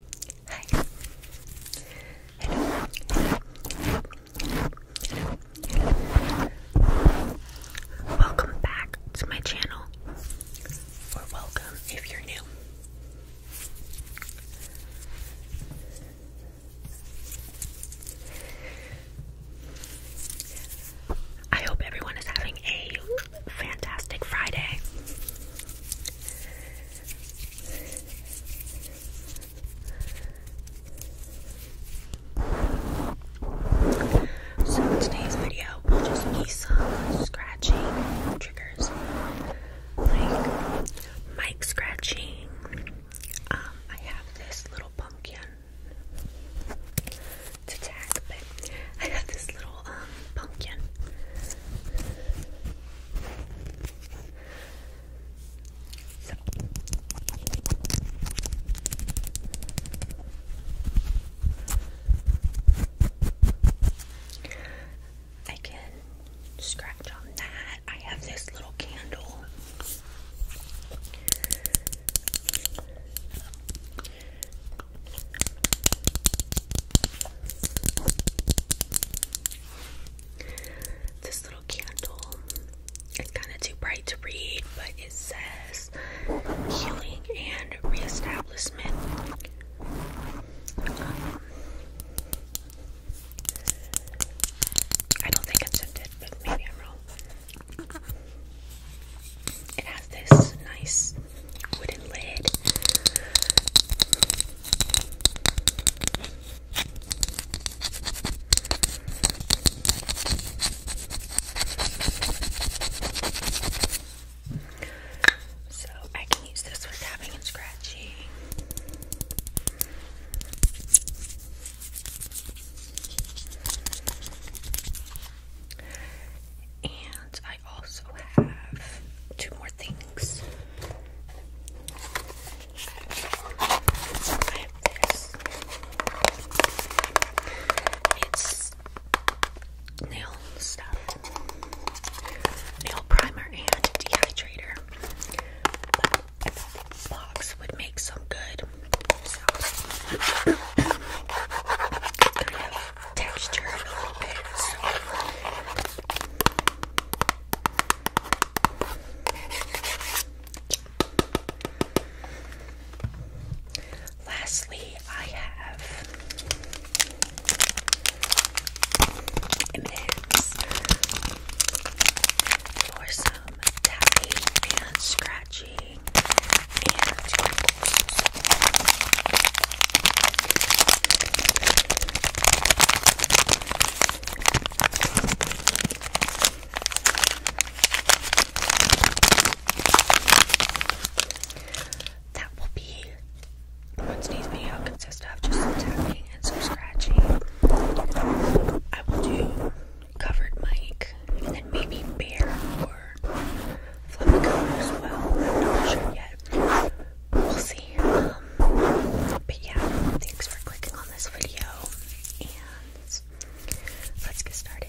Hi. Hello. Hello. Hello. Welcome back to my channel. Or welcome if you're new. I hope everyone is having a fantastic Friday. So in today's video will just be some scratching triggers, like mic scratching. Um, I have this little pumpkin. It's tag, but I have this little um, pumpkin. I can scratch on that. I have this little candle. This little candle is kind of too bright to read, but it says healing and reestablishment. Um, I don't think it's scented, but maybe I'm wrong. It has this nice wooden lid. So I can use this for scratching. And I also have two more things. I have this. It's nail stuff. Nail primer and dehydrator. box would make some good texture Lastly, I have m and for some tapping and scratching that will be on today's video consist of just some and some scratching. I will do covered mic and then maybe bear or flip as well. not sure yet we'll see. Um, but yeah, thanks for clicking on this video, and let's get started.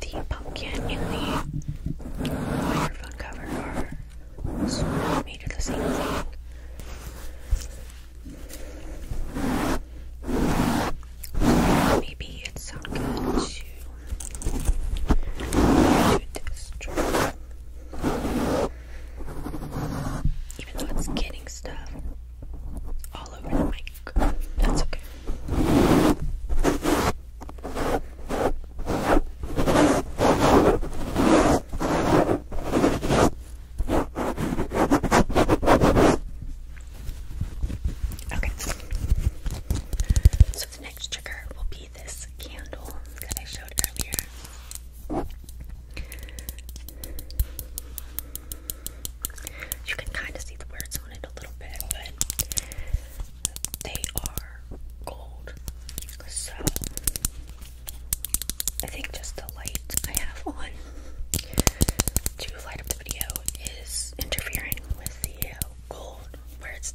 The pumpkin in the microphone cover are made the same thing. Maybe it's not good to do even though it's getting stuff all over the mic. That's okay. Okay. So the next trigger will be this candle that I showed earlier. You can kind of see the words on it a little bit, but they are gold. So I think just the light I have on to light up the video is interfering with the gold words.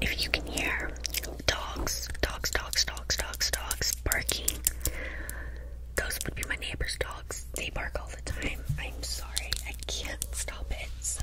If you can hear dogs, dogs, dogs, dogs, dogs, dogs barking, those would be my neighbor's dogs. They bark all the time. I'm sorry, I can't stop it. So.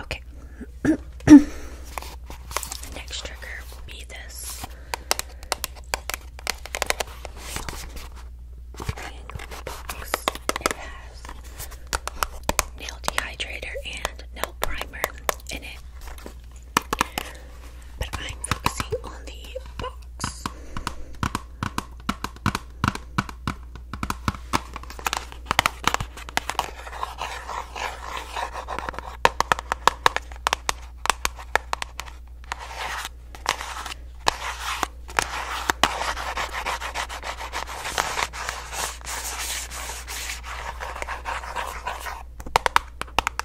Okay. Next trigger will be this nail dehydrator and nail primer in it. But I'm focusing on the box.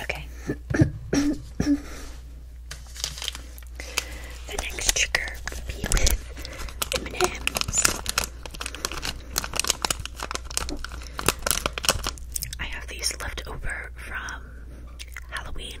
Okay. the next trigger be with M&M's. I have these left over from Halloween.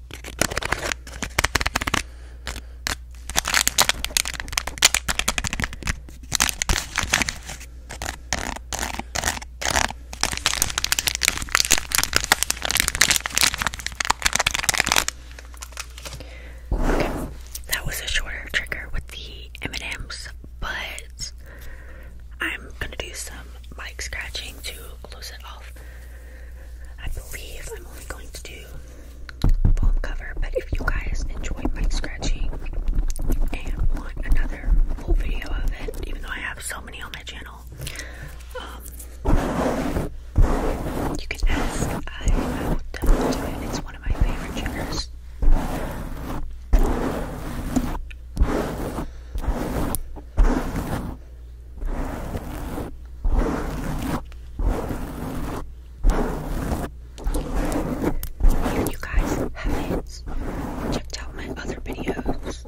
Okay, that was a shorter trigger with the M&Ms, but I'm gonna do some mic scratching to close it off. I believe I'm only going to do palm cover. But if you guys enjoy mic scratching and want another full video of it, even though I have so many on my channel, um, you can ask. I, will definitely do it. It's one of my favorite triggers. If you guys haven't checked out my other videos,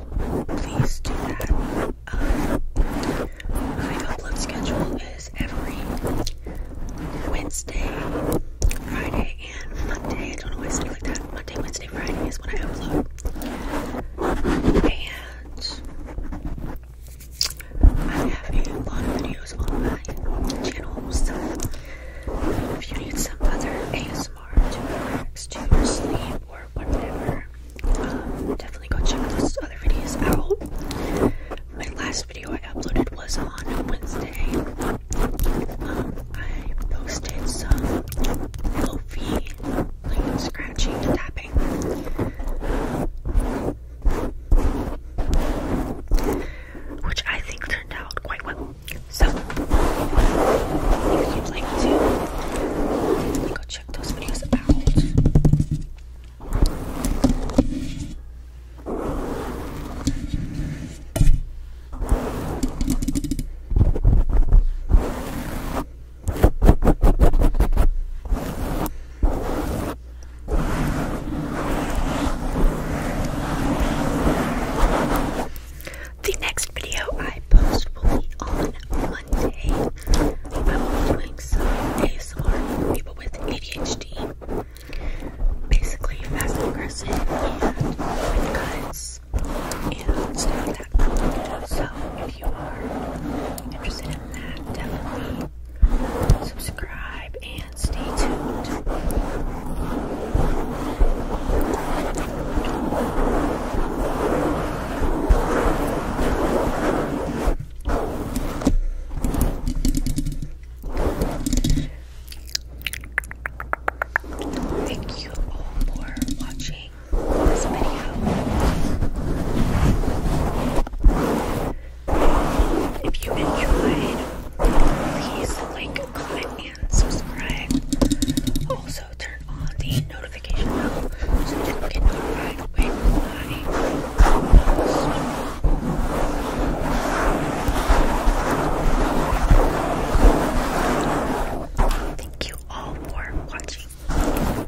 please do that. Um, my upload schedule is every Wednesday, Friday, and Monday. I don't know why I said it like that. Monday, Wednesday, Friday is when I upload. And I have a lot of videos on my channel, so if you need some other ASMR to relax, to sleep, or whatever, definitely go check those other videos out. My last video I uploaded was on Wednesday. I posted some low fee, like scratching, tapping which I think turned out quite well. So, if you like to go check those videos out. The next video I post will be on Monday. I will be doing some ASMR for people with ADHD, basically fast and aggressive and with guns, and stuff like that. So if you are interested in that, definitely subscribe and stay tuned. Thank you all for watching this video. If you enjoyed, please like, comment, and subscribe. Also, turn on the notification bell so that you get notified when I post. Thank you all for watching.